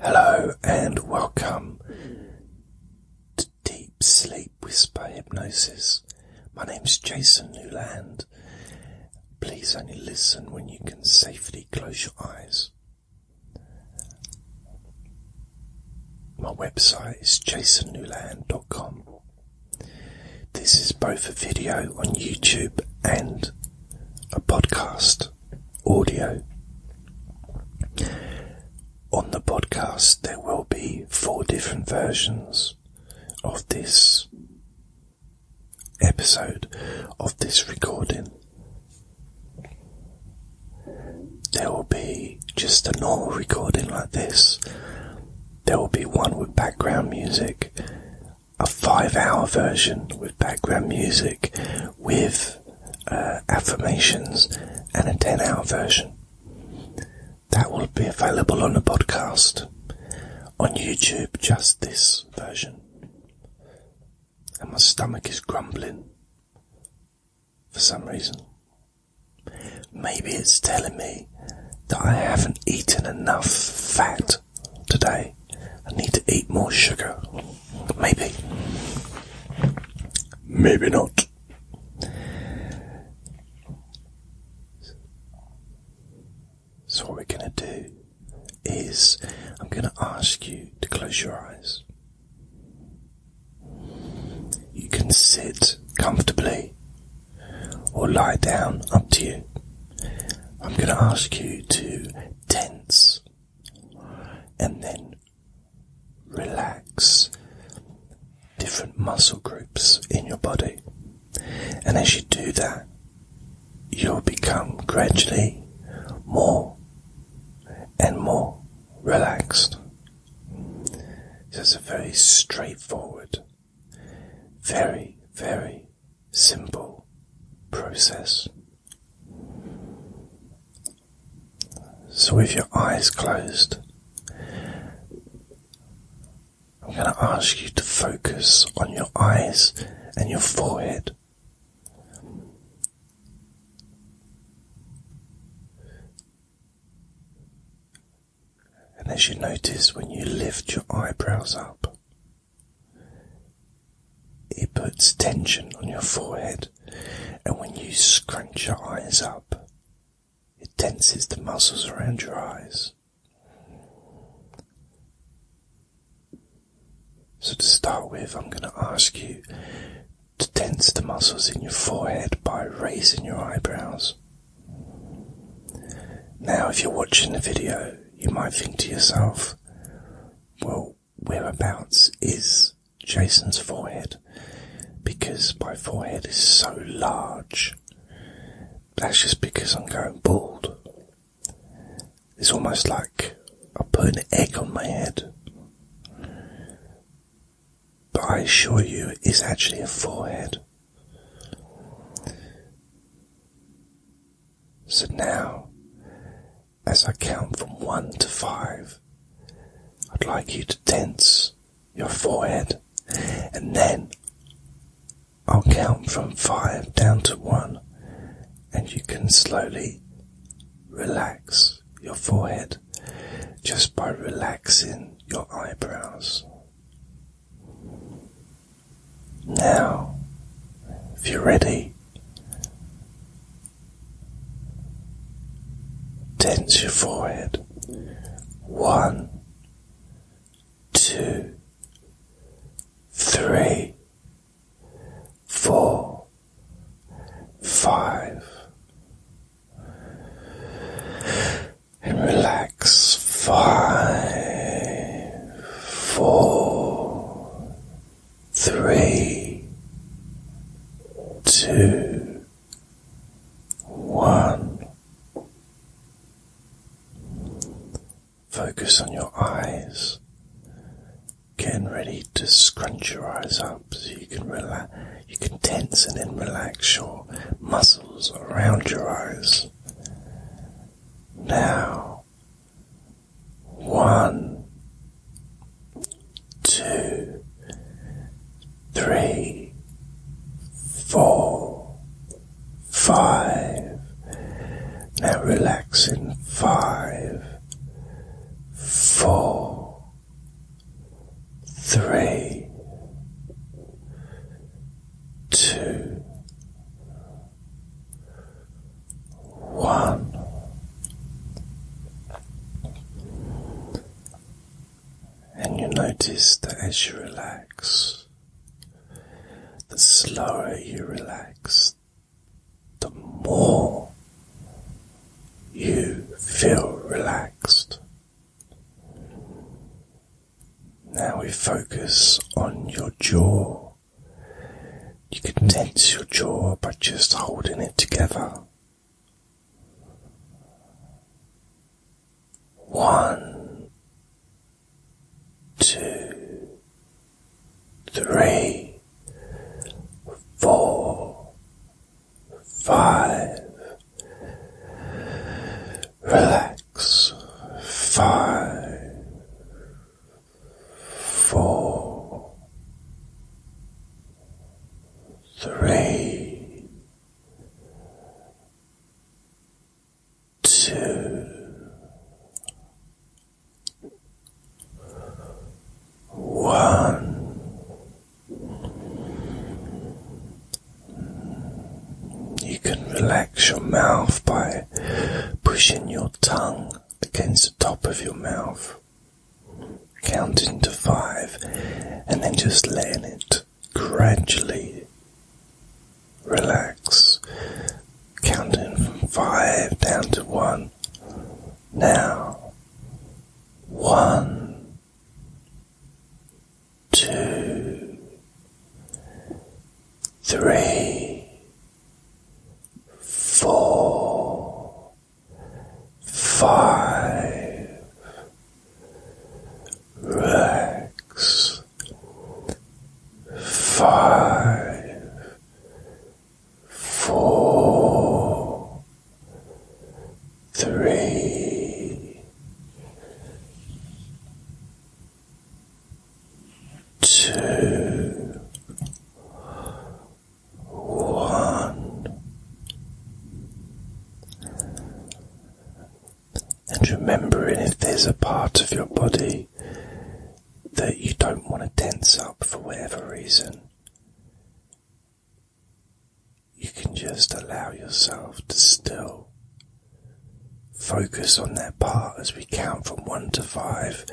Hello and welcome to Deep Sleep Whisper Hypnosis. My name is Jason Newland. Please only listen when you can safely close your eyes. My website is jasonnewland.com. This is both a video on YouTube and a podcast audio. On the podcast, there will be four different versions of this episode of this recording. There will be just a normal recording like this. There will be one with background music, a five hour version with background music, with uh, affirmations and a 10 hour version. That will be available on the podcast. On YouTube, just this version. And my stomach is grumbling. For some reason. Maybe it's telling me that I haven't eaten enough fat today. I need to eat more sugar. Maybe. Maybe not. So, what we're going to do is I'm going to ask you to close your eyes. You can sit comfortably or lie down, up to you. I'm going to ask you to tense and then relax different muscle groups in your body. And as you do that, you'll become gradually more and more relaxed. So it's a very straightforward, very, very simple process. So, with your eyes closed, I'm going to ask you to focus on your eyes and your forehead. And as you notice, when you lift your eyebrows up, it puts tension on your forehead, and when you scrunch your eyes up, it tenses the muscles around your eyes. So, to start with, I'm going to ask you to tense the muscles in your forehead by raising your eyebrows. Now, if you're watching the video, you might think to yourself, well, whereabouts is Jason's forehead because my forehead is so large. That's just because I'm going bald. It's almost like I put an egg on my head. But I assure you, it's actually a forehead. So now as I count from one to five, I'd like you to tense your forehead and then I'll count from five down to one and you can slowly relax your forehead just by relaxing your eyebrows. Now, if you're ready, Tense your forehead. One, two, three, four, five. And relax. Five, four, three, two, one. Focus on your eyes, getting ready to scrunch your eyes up so you can relax, you can tense and then relax your muscles around your eyes. Now, one, two, three, four, five. Now relax in five, four, three, two, one. And you notice that as you relax, the slower you relax, the more you feel relaxed. Now we focus on your jaw. You can tense your jaw by just holding it together. One, two, three, four, five. Relax. Five, four, three, two, one. You can relax your mouth by pushing your tongue against the top of your mouth, counting to five, and then just letting it gradually relax, counting from five down to one. Now, one, two, three four, five, relax, five, four, three, two, one. And remembering if there's a part of your body that you don't want to tense up for whatever reason, you can just allow yourself to still focus on that part as we count from one to five,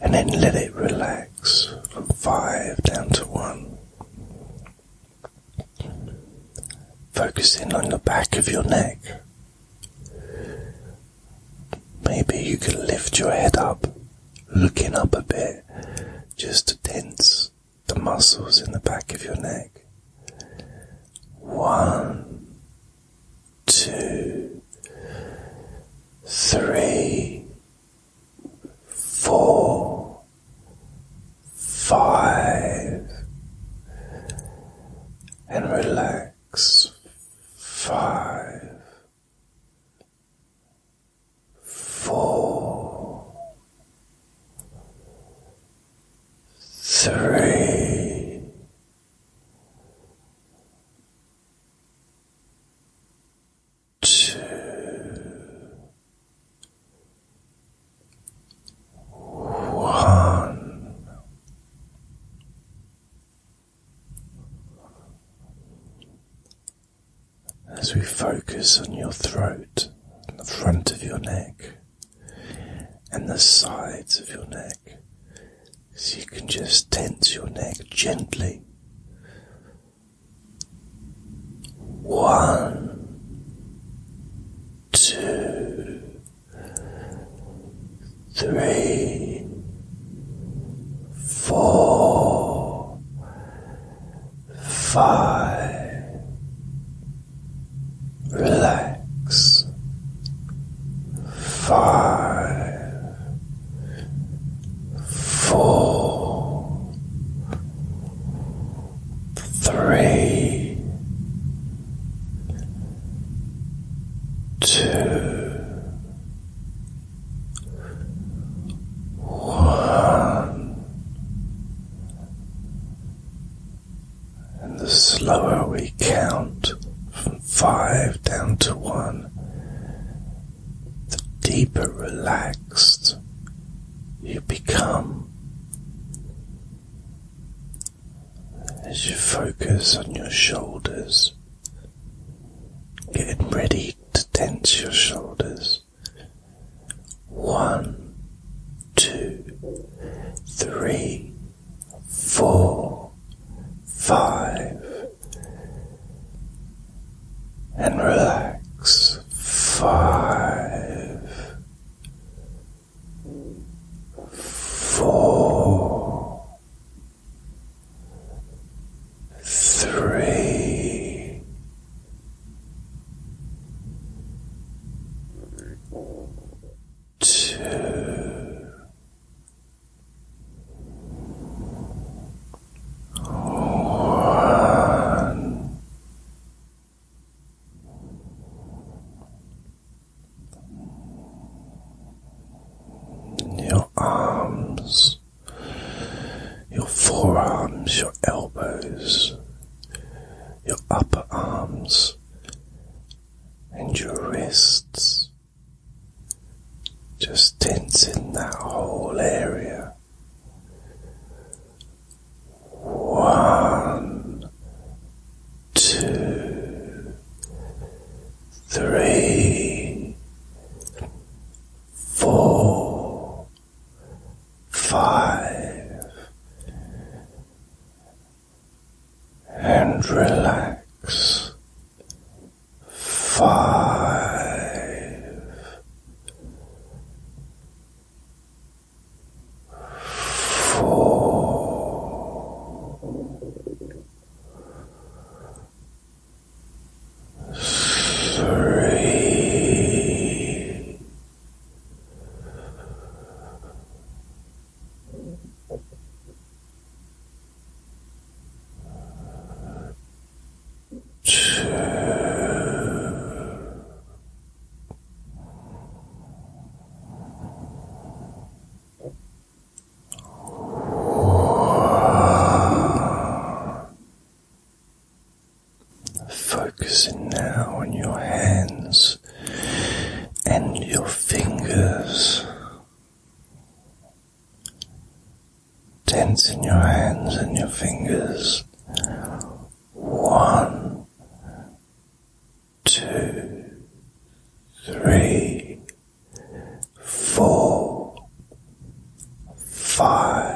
and then let it relax from five down to one. Focusing on the back of your neck. Maybe you can lift your head up, looking up a bit, just to tense the muscles in the back of your neck. One, two, three, four, five, and relax five, four, three. Two. One. As we focus on your throat, the front of your neck, and the sides of your neck, so you can just tense your neck gently. One, two, three, four, five, relax. Five, four, three, two, one. And the slower we count from five down to one, the deeper relaxed you become. As you focus on your shoulders, getting ready to tense your shoulders. One, two, three, four, five, and relax five, four, three, Two. One. Your arms, your forearms, your elbows, your upper arms, and your wrists, just tensing that whole area. One, two, three, four, five, and relax. Five, four, three, Focusing now on your hands and your fingers. Tense in your hands and your fingers. One, two, three, four, five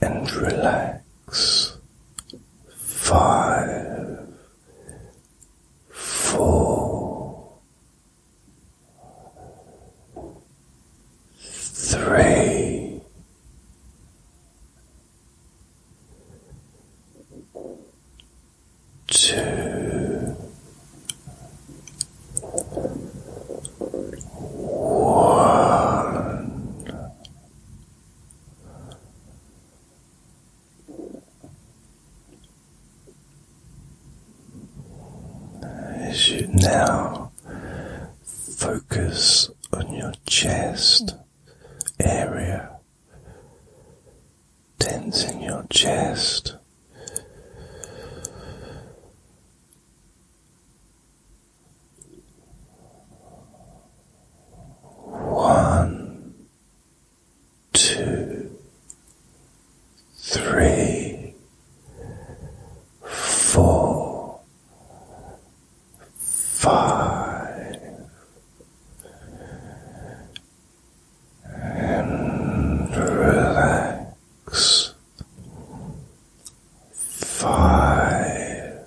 and relax. Five, four, three, two, one. As you now focus on your chest area, tensing your chest. One, two, three, four, five, and relax. Five,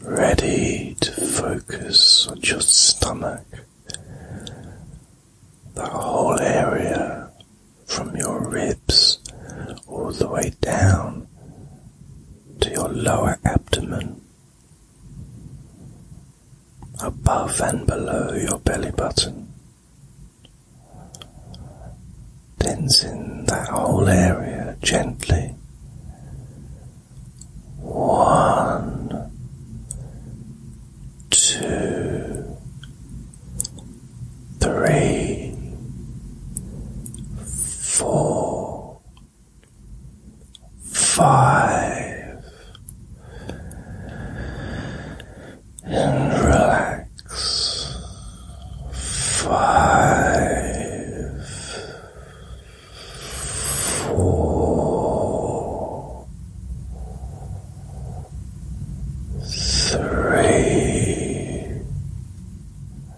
Ready to focus on your stomach, the whole area from your ribs all the way down to your lower abdomen, above and below your belly button, tensing that whole area gently. One, two, three, four, five, and relax five, four, three.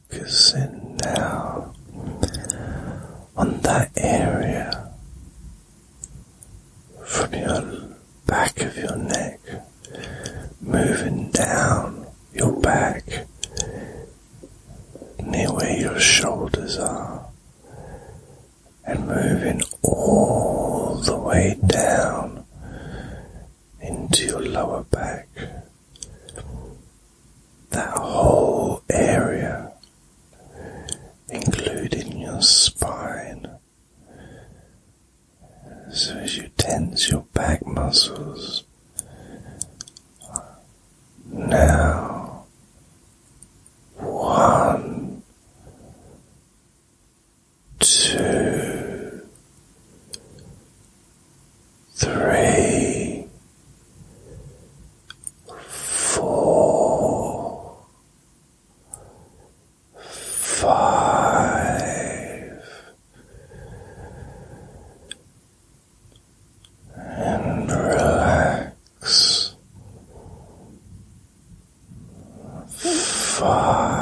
Focusing now on that area from your back of your neck, moving down your back near where your shoulders are, and moving all the way down into your lower back that whole area, including your spine. So, as you tense your back muscles, now one, two, three, four, five, and relax five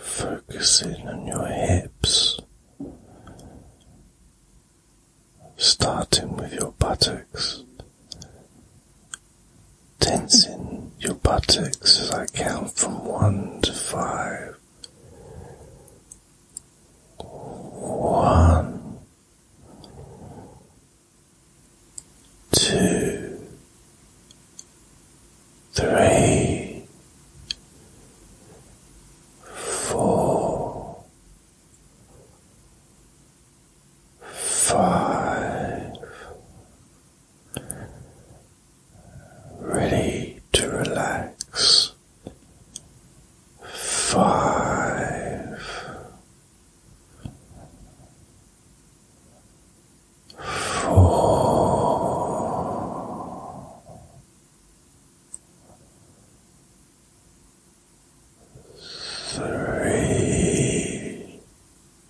Focusing on your hips, starting with your buttocks, tensing your buttocks six as I count from one to five. One, two, three, four, five ready to relax. Five, four, three.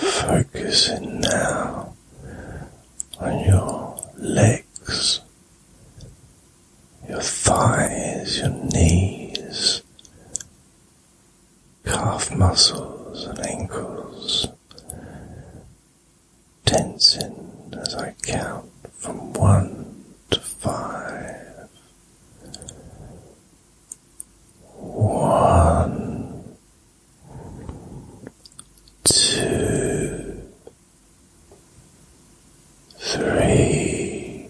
Focusing now on your legs, your thighs, your knees, calf muscles, and ankles, tensing as I count from one to five. One two, three,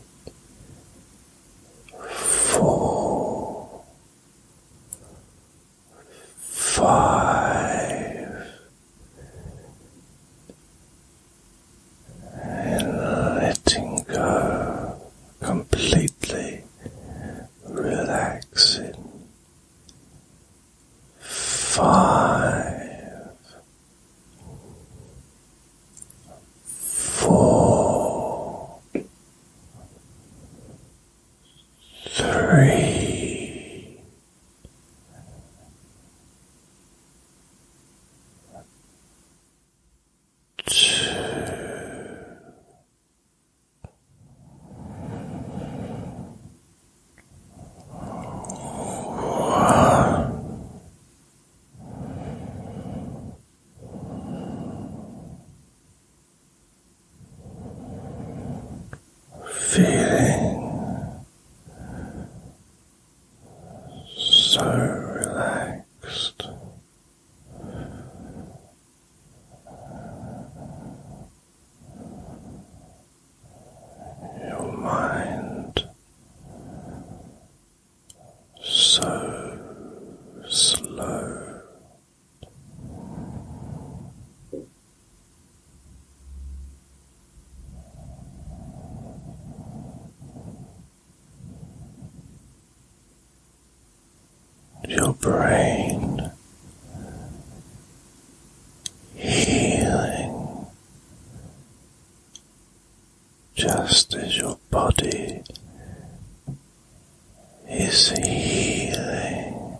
four, five, and letting go completely relaxing. Five, four, three, two. Feeling so relaxed your mind so slow your brain healing just as your body is healing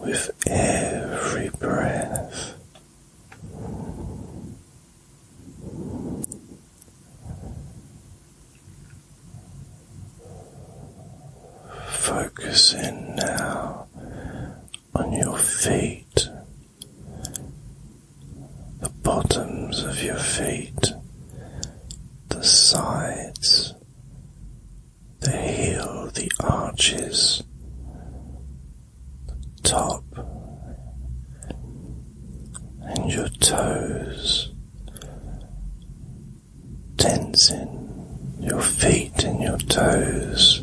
with every breath. Focus in now on your feet, the bottoms of your feet, the sides, the heel, the arches, the top, and your toes, tensing your feet and your toes.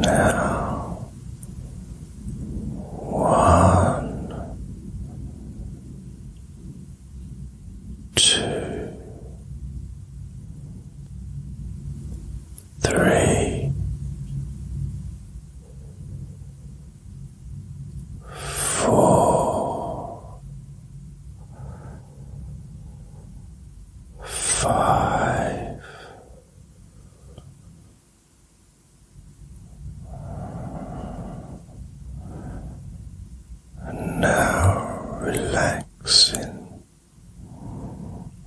Now, one, two, three four, five, and now relaxing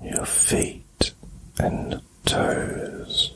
your feet and toes